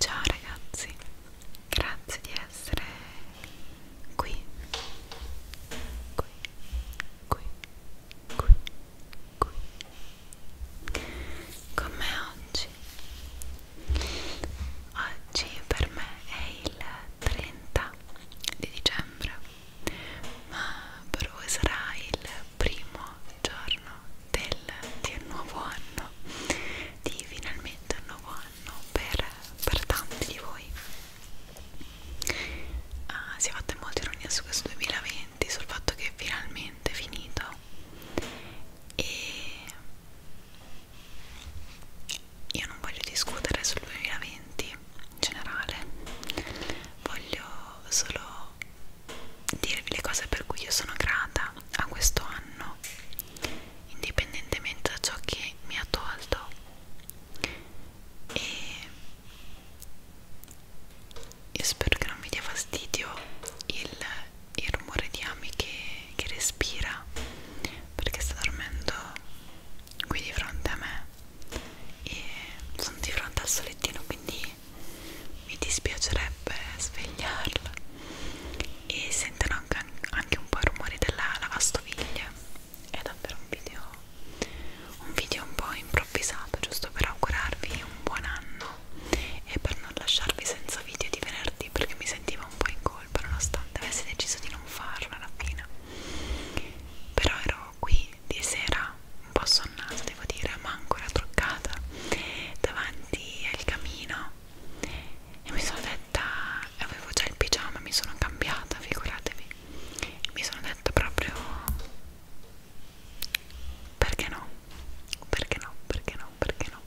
Ciao ragazzi, grazie di essere qui, qui, qui, qui, qui, qui con me oggi oggi per me è il 30 di dicembre ma per voi sarà il primo giorno del, del nuovo anno di finalmente un nuovo anno per, per tanti di voi Ah, si è fatta molta ironia su questo 2020 complimenti sul fatto che è finalmente è finito e io non voglio discutere sul 2020 in generale voglio solo dirvi le cose per cui io sono grata a questo anno indipendentemente da ciò che mi ha tolto e io spero che non mi dia fastidio il, il rumore di Ami che, che respira perché sta dormendo qui di fronte a me e sono di fronte al solettino quindi mi dispiacerebbe svegliarla e sentono anche, anche un po' i rumori della lavastoviglie è davvero un video un video un po' improvvisato giusto per augurarvi un buon anno e per non lasciarvi senza video di venerdì perché mi sentivo un po' in colpa nonostante avessi deciso di non farlo alla fine però ero qui di sera un po' sonnata devo dire ma ancora truccata davanti al camino e mi sono detta avevo già il pigiama mi sono cambiata figuratevi e mi sono detta proprio perché no? Perché no? Perché no? Perché no?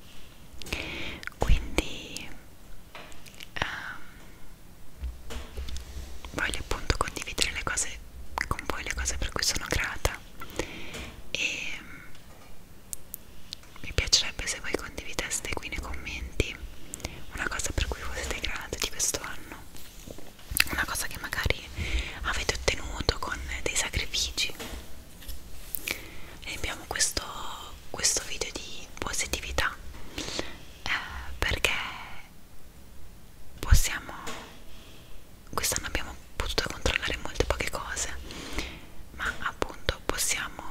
Quindi um, voglio appunto condividere le cose con voi, le cose per cui sono grata e um, mi piacerebbe se voi condivideste qui nei commenti una cosa per cui voi siete grati di questo anno, una cosa che magari che avete ottenuto con dei sacrifici e abbiamo questo, questo video di positività eh, perché possiamo quest'anno abbiamo potuto controllare molte poche cose ma appunto possiamo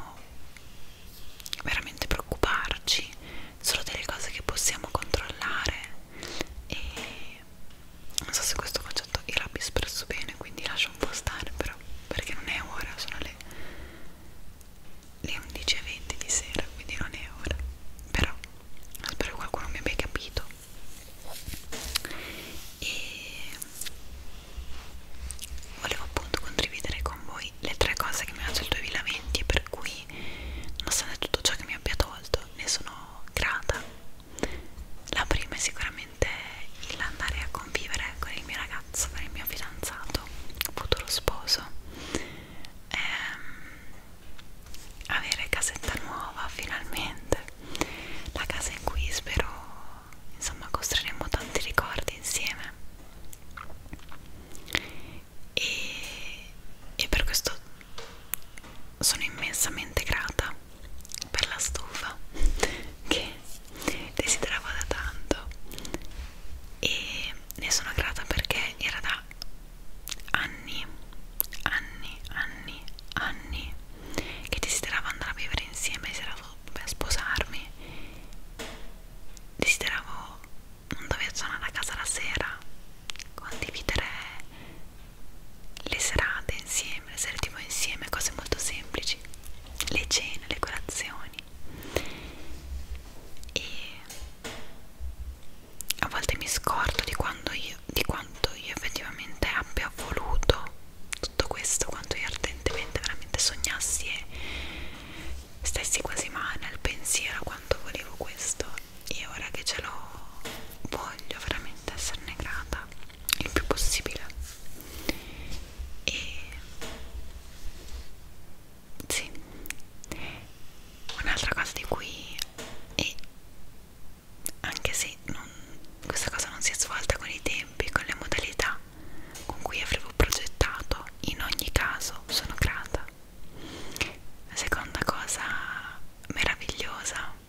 veramente preoccuparci solo delle cose che possiamo controllare e non so se questo concetto era espresso bene quindi lascio un po' stare però perché non è ora sono le, le 11.20 di sera quindi non è ora però spero che qualcuno mi abbia capito e volevo appunto condividere con voi le tre cose che mi ha dato il 2020 e per cui nonostante tutto ciò che mi abbia tolto ne sono grata la prima è sicuramente l'andare a convivere con il mio ragazzo, con il mio fidanzato, futuro sposo, ehm, avere casetta nuova finalmente, la casa in cui spero insomma costruiremo tanti ricordi insieme. E, e per questo sono immensamente grata per la stufa che desideravo da tanto e ne sono grata perché era da anni, anni, anni, anni che desideravo andare a vivere insieme, desideravo beh, sposarmi, desideravo non dover tornare a casa la sera, condividere le serate insieme, le sere tv insieme, cose molto semplici, le cene, le colazioni e a volte mi scordo di, quando io, di quanto io effettivamente abbia voluto tutto questo, quanto io ardentemente veramente sognassi e stessi quasi male al pensiero quanto volevo questo e ora che ce l'ho voglio veramente esserne grata il più possibile e sì un'altra cosa di cui e anche se non, questa cosa non si è svolta con i tempi con le modalità con cui avevo progettato in ogni caso sono grata la seconda cosa meravigliosa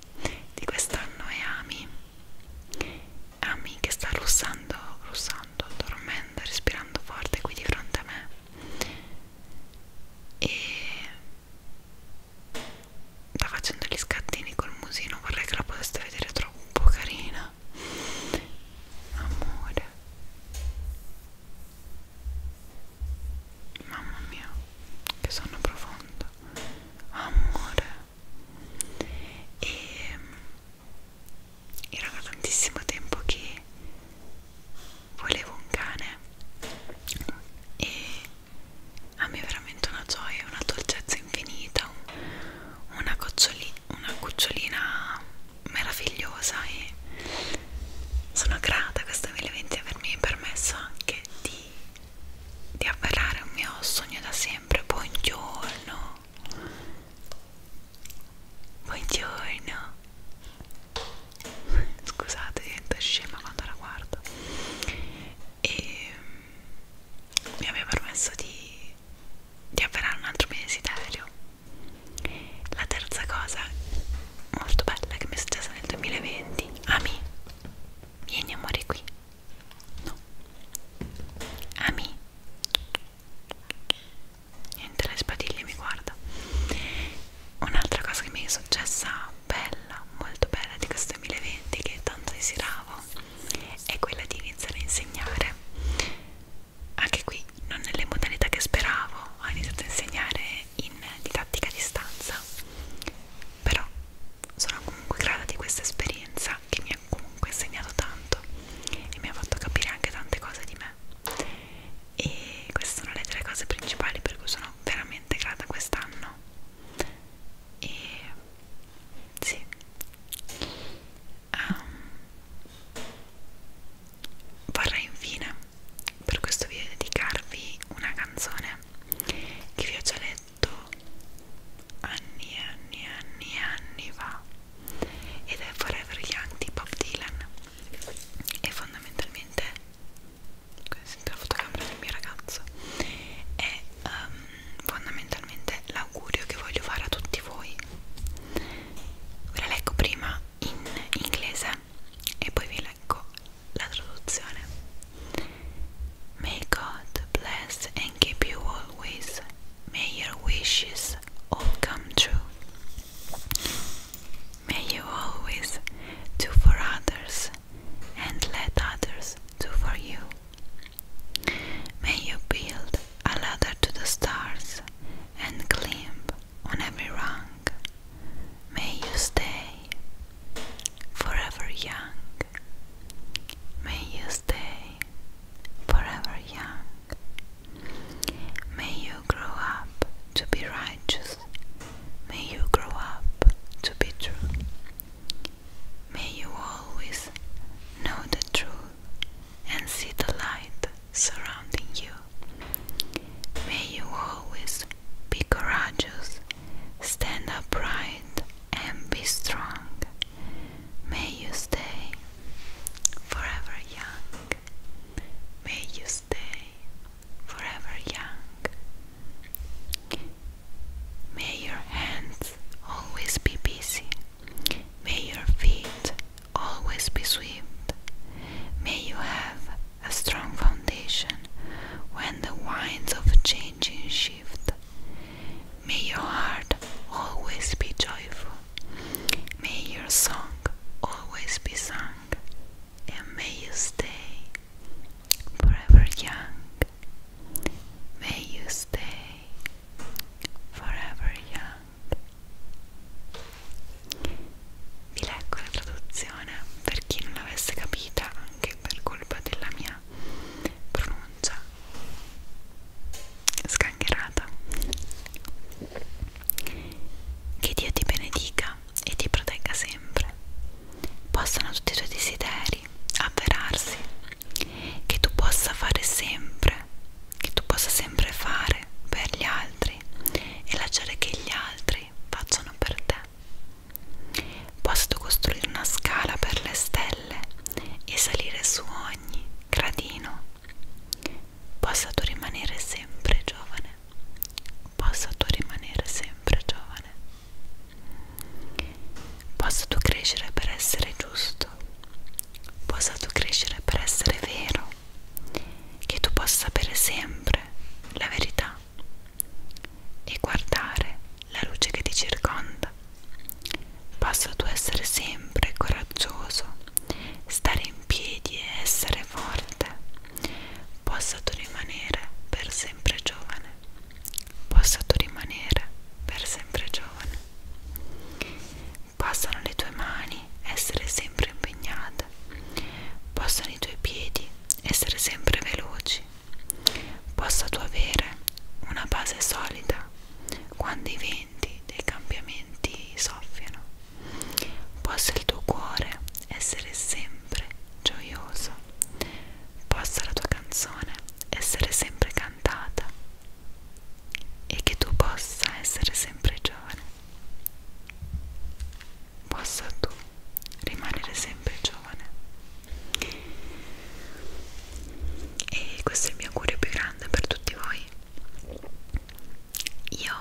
di quest'anno è Ami Ami che sta russando, russando, dormendo, respirando forte qui di fronte a me e sta facendo gli scattini col musino vorrei che la poteste vedere troppo carina amore Mamma mia, che sonno profondo. Amore. E ehm, era da tantissimo tempo che volevo un cane e a me è veramente una gioia, una dolcezza infinita, una, una cucciolina meravigliosa e sono grata a questo 2020 avermi permesso anche di di avverare un mio sogno da sempre. Buongiorno. Buongiorno. Scusate, diventa scema quando la guardo. E mm, mi aveva permesso di, di avverare un altro mio desiderio. La terza cosa molto bella che mi è successa nel 2020 Ami, vieni amore qui no Ami niente le spadiglie mi guarda un'altra cosa che mi è successa bella, molto bella di questo 2020 che tanto desideravo è quella di iniziare a insegnare anche qui non nelle modalità che speravo ho iniziato a insegnare in didattica a distanza però sono comunque grata di questa esperienza che mi ha comunque insegnato tanto e mi ha fatto capire anche tante cose di me e queste sono le tre cose principali per cui sono veramente grata quest'anno e sì um, vorrei infine per questo video dedicarvi una canzone che vi ho già letto anni e anni e anni e anni fa ed è Forever Young di Bob Dylan e fondamentalmente sento la fotocamera del mio ragazzo è um, fondamentalmente l'augurio che voglio fare a tutti voi ve la leggo prima in inglese e poi vi leggo May God bless and keep you always May your wishes all come true May you always do for others and let others do for you May you build a ladder to the stars and climb on every rung. May you stay forever young. May you stay forever young. May you grow up to be righteous. May you grow up to be true. May you always know the truth and see the light surrounding you. May you always be courageous, stand upright, and be strong. May you stay forever young. May you stay forever young. May your hands always be busy. May your feet always be swift. May you have a strong foundation when the winds of changing shift. May your heart always be joyful, may your song always be sung, and may you stay forever young. May you stay forever young. Vi leggo la traduzione per chi non l'avesse capita anche per colpa della mia pronuncia sgangherata. Che Dio ti benedica e ti protegga sempre. Possano tutti i tuoi desideri avverarsi. Che tu possa fare sempre, che tu possa sempre fare per gli altri e lasciare che gli altri astri facciano per te. Posso costruire una scala per le stelle e salire su ogni gradino. Possa tu rimanere sempre giovane. Possa tu rimanere sempre giovane. Possa tu crescere per essere giusto. Possa tu crescere per essere vero. Che tu possa sapere sempre ascoltare la verità e guardare la luce che ti circonda. Possa tu essere sempre coraggioso, stare in piedi e essere forte. Possa tu rimanere per sempre giovane. Possa tu rimanere per sempre giovane. Passano le tue mani essere sempre impegnata, possano i tuoi piedi essere sempre veloci, possa tu avere una base solida quando i venti dei cambiamenti soffiano, possa il tuo cuore essere sempre gioioso, possa la tua canzone essere sempre cantata e che tu possa essere sempre giovane possa tu rimanere sempre giovane e questo è il mio cuore più grande per tutti voi io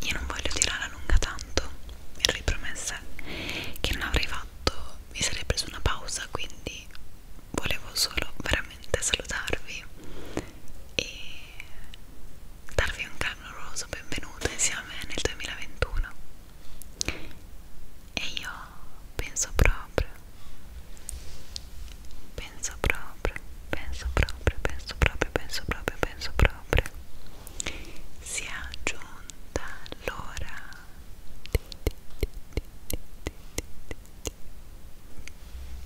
io non voglio tirare a lunga tanto mi ero ripromessa che non avrei fatto mi sarei preso una pausa quindi volevo solo veramente salutarvi e darvi un caloroso benvenuto insieme nel 2021 e io penso proprio penso proprio penso proprio penso proprio penso proprio penso proprio sia giunta l'ora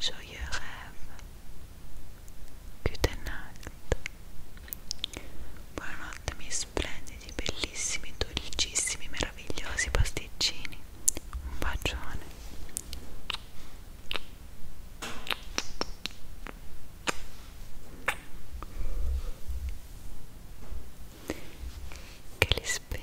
joyeux rêve. Good night. Buonanotte miei splendidi, bellissimi, dolcissimi, meravigliosi pasticcini. Un bacione. Che li spera.